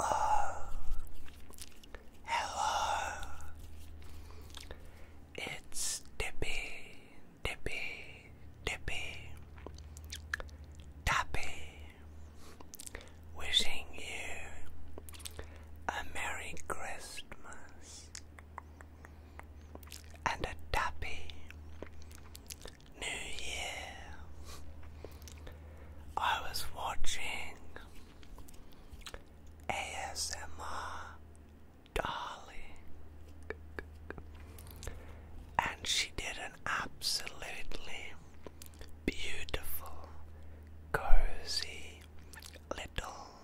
Oh, hello. It's Dippy, Dippy, Dippy, Tappy, wishing you a Merry Christmas and a Tappy New Year, I was watching ASMR Darling, and she did an absolutely beautiful, cozy little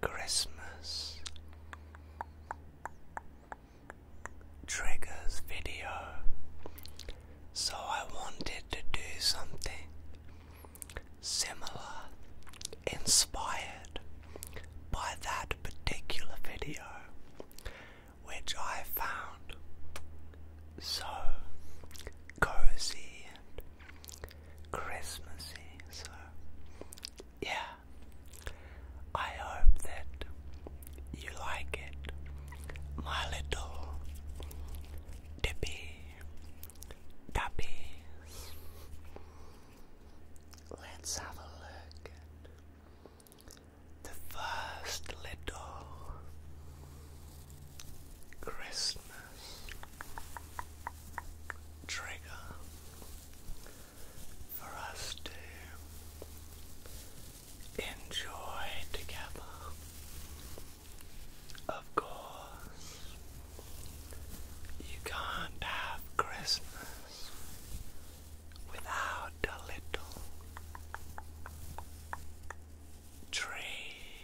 Christmas triggers video. So I wanted to do something similar, inspired by that particular video, which I found so cozy and Christmassy. So, yeah, I hope that you like it, my little dippy dappies. Let's have a look at the first little Christmas trigger for us to enjoy together. Of course, you can't have Christmas without a little tree.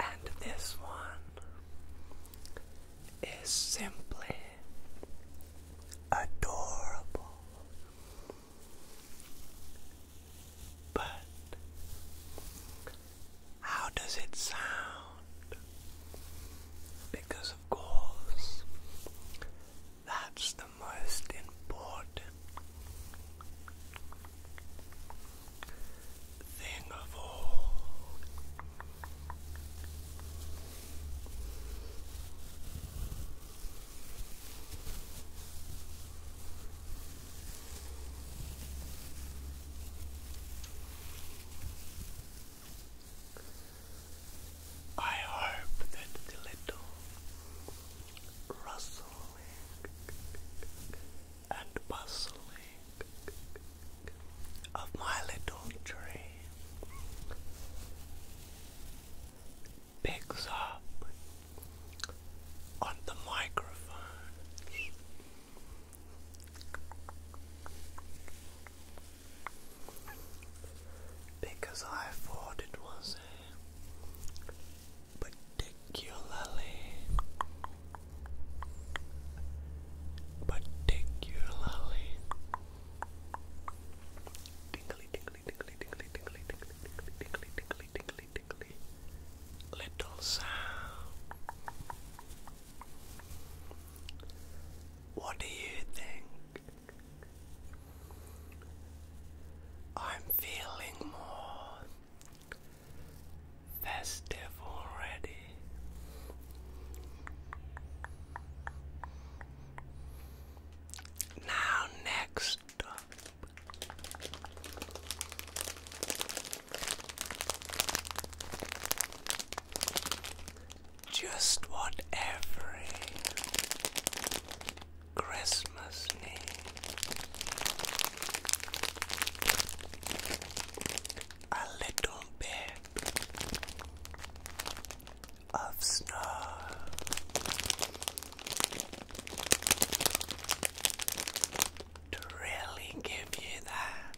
And this one is simply adorable. But how does it sound? Because, of course, that's the most important thing of all. I hope that the little rustling and bustling of my little tree picks up on the microphone. Because I thought it was a particularly, particularly Tingly, tingly, tingly, tingly, tingly, tingly, tingly, tingly, tingly, tingly, little sound. What do you think? I'm feeling more festive already. Now, next just what every Christmas needs a little bit of snow. To really give you that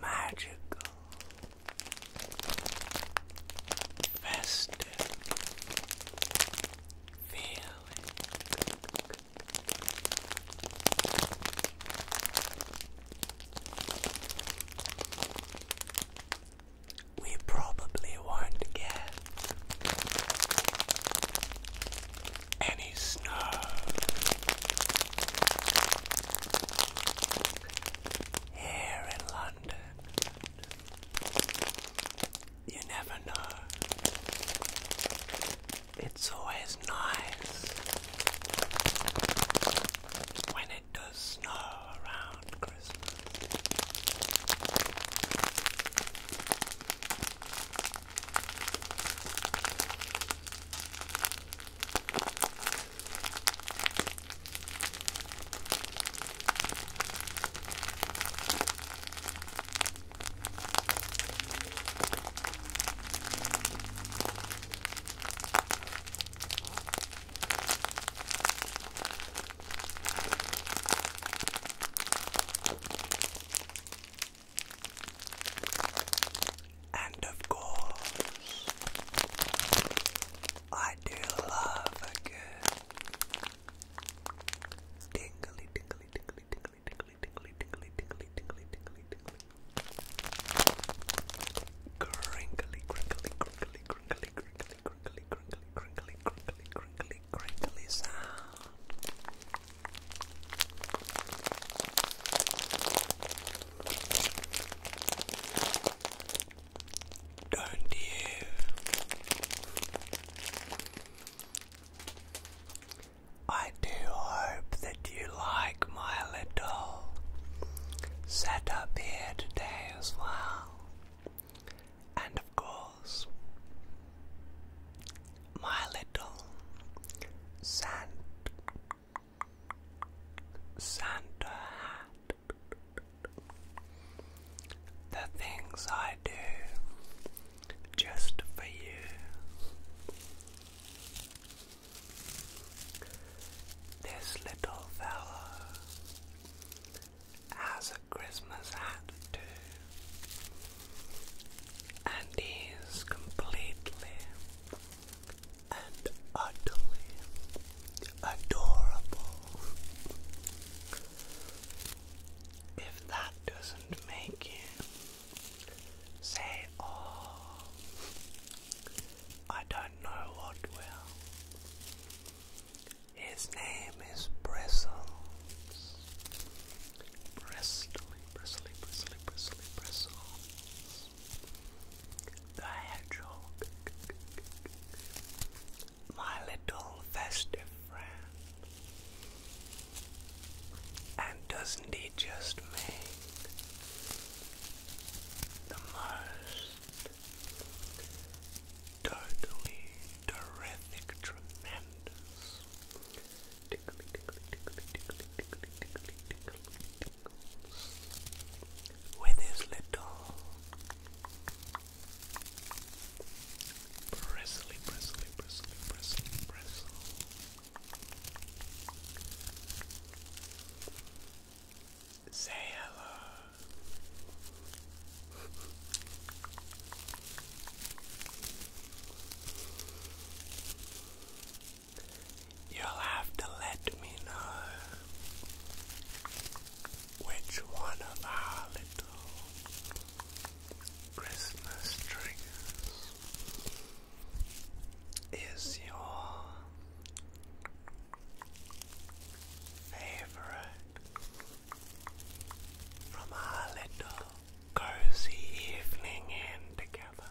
magical, festive feeling. We probably won't get any snow. Here in London, you never know. It's always nice when it does snow around Christmas. And of course, I do love a good tingly, tingly, tingly, tingly, tingly, tingly, tingly, tingly, tingly, tingly, tingly, tingly. Crinkly, crinkly, crinkly, crinkly, crinkly, crinkly, crinkly, crinkly, crinkly, crinkly, crinkly sound. Don't you? I do hope that you like my little set up here today as well. And of course, my little Santa Santa hat. The things I do just for you. This little fellow has a Christmas hat too, and he's completely and utterly adorable. If that doesn't make you Say, oh, I don't know what will. His name is Bristles. Bristly, bristly, bristly, bristly, bristles. The hedgehog. My little festive friend. And doesn't he just make the most totally terrific, tremendous tickly, tickly, tickly, tickly, tickly, tickly, tickly, tickles with his little Bristly, bristly, bristly, bristly, bristle Say hello. You'll have to let me know which one of our little Christmas triggers is your favorite from our little cozy evening in together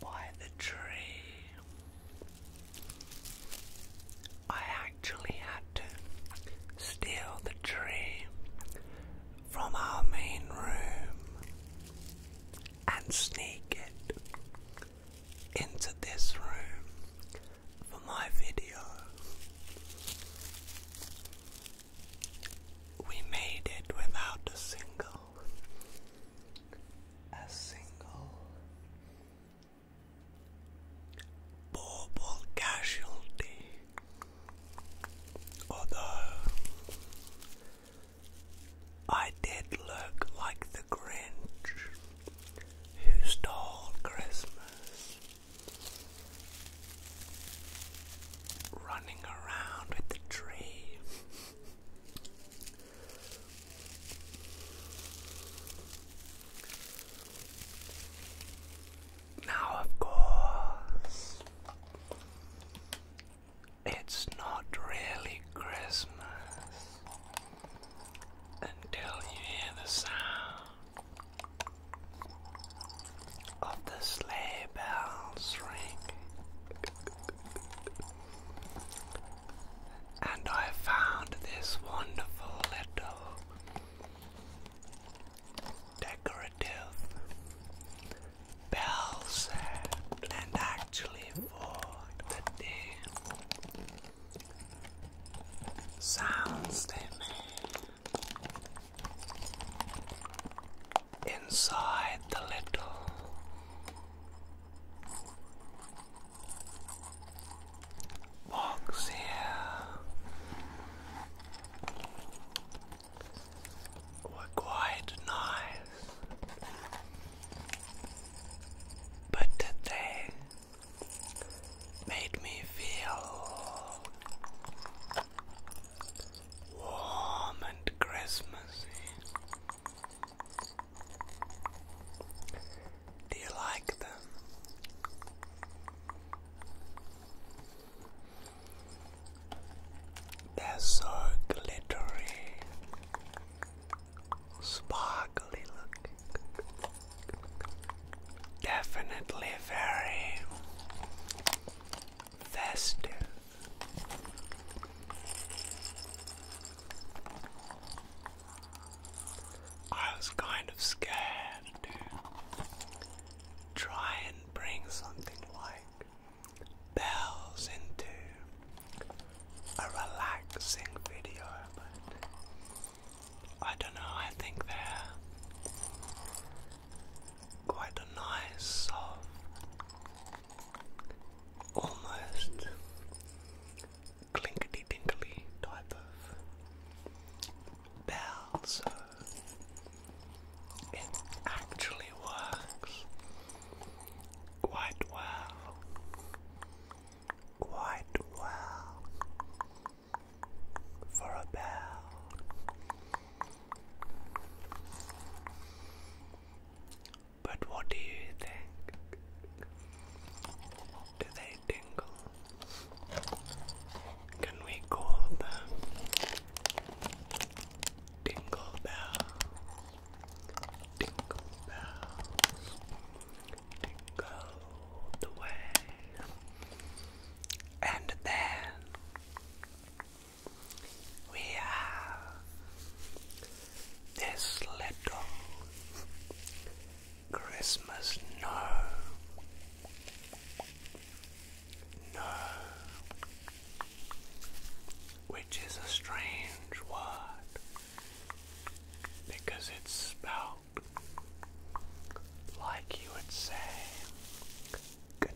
by the tree. I actually had to steal the tree from our main room and sneak it into this room for my video. We made it without a single, a single bauble casualty. Although I did look like the Grinch who stole Christmas, running around with the tree. Now, of course, it's not really Christmas until you hear the sound of the sleigh bells ring. And I found this wonderful little decorative bell and actually for the day sounds they inside the little box here were quite nice, but they made me feel warm and Christmassy. Do you like them? That's so glittery, sparkly looking. Definitely very festive. I was kind of scared to try and bring something like Bells delves into a relaxing video, but I don't know, I think they're quite a nice, soft, almost clinkety tinkly type of bell, it actually works quite well. Quite well for a bell. But what do you think? Do they tingle? Can we call them Dingle bells, dingle bells, dingle the way. And then we have this little Christmas no. No. Which is a strange word because it's spelled like you would say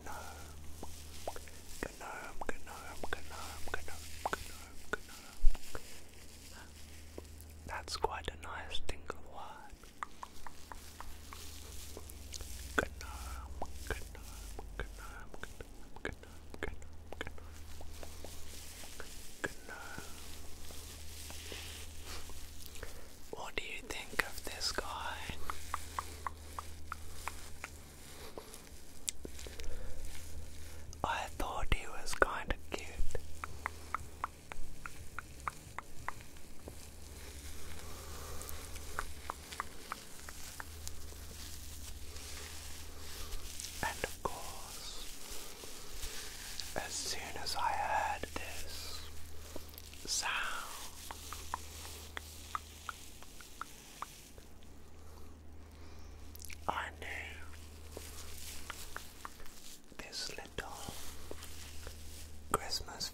gnome, gnome, gnome, gnome, gnome, gnome, That's quite a nice tingle word. Good night, good night, good night, good What do you think of this guy? I thought he was kind of cute. And of course, as soon as I heard this sound, I knew this little Christmas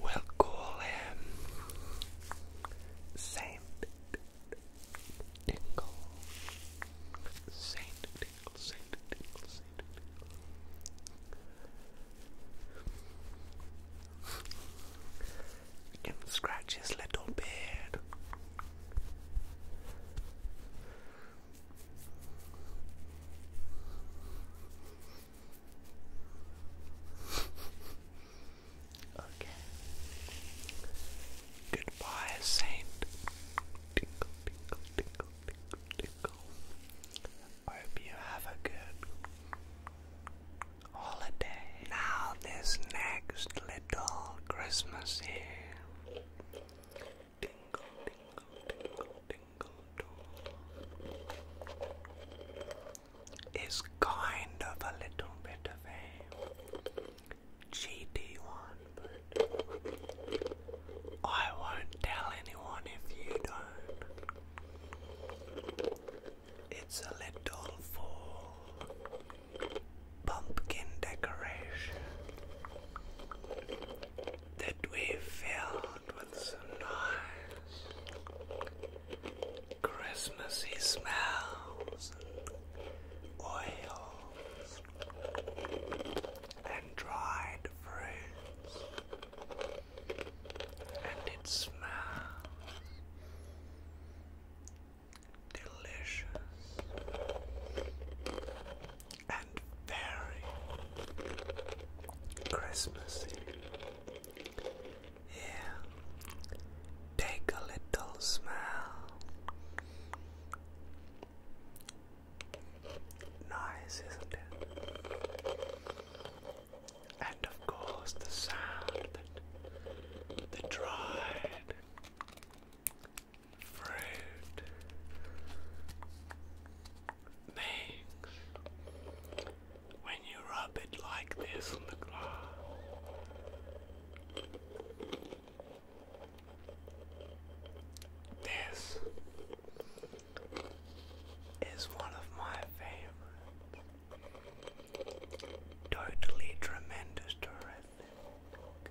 We'll call him Saint Tickle. Saint Tickle, Saint Tickle, Saint Tickle. We can scratch his little beard. Okay. Goodbye, Saint. Tinkle, tinkle, tinkle, tinkle, tinkle. hope you have a good holiday. Now, this next little Christmas here Tingle, tingle, tingle, tingle tool is kind of a little bit of a cheaty one, but I won't tell anyone if you don't. It's a little for pumpkin decoration that we filled with some nice Christmassy smells and oils and dried fruits and it smells delicious and very Christmassy. Yeah, take a little smell. Nice, isn't it? And of course, the sound that the dried fruit, next, when you rub it like this on the glass, this is one of my favorite, Totally tremendous, terrific.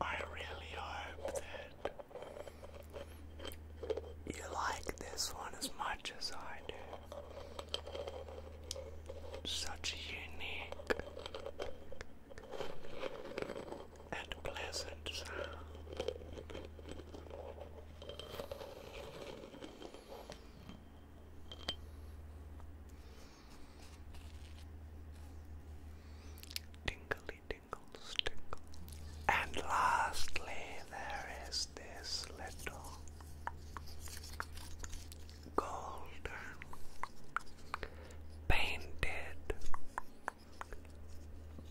I really hope that you like this one as much as I do. Such a unique and pleasant sound. Tingly tingles, tingles. And lastly, there is this little golden painted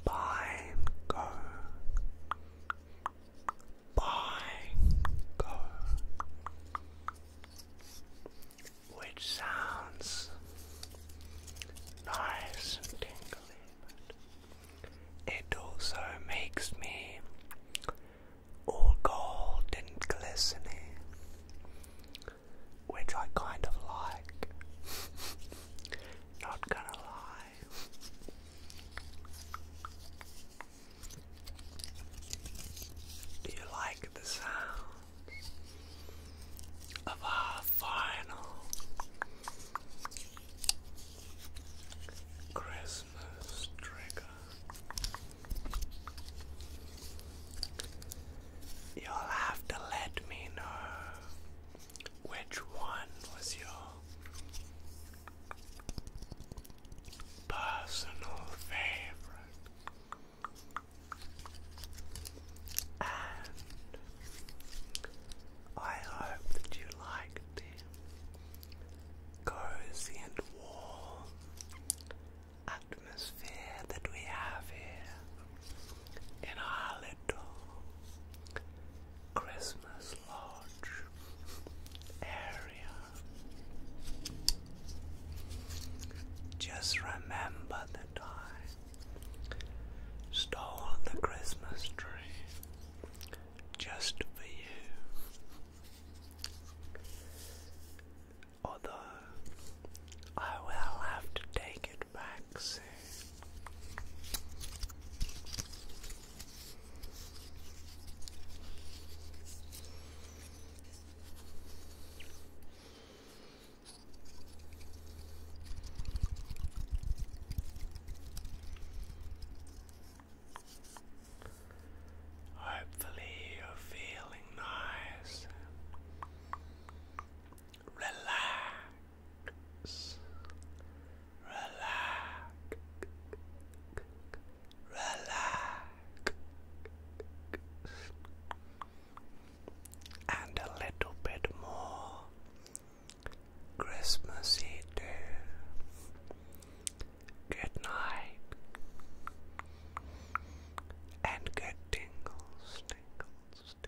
pine cone bongo, which sounds nice and tingly, but it also makes me all gold and glistening, which I kind of like. Not gonna lie. Do you like the sounds of our final Christmas trigger? You'll have to let me know which one was your personal favorite, and I hope that you liked the cozy and warm atmosphere that we have here in our little Christmas Lodge area. Just remember that I stole the Christmas tree just for you. Although I will have to take it back soon. Hopefully, you're feeling nice, relax, Relax. Relax. And a little bit more Christmassy too. Good night. And good tingles, tingles, tingles.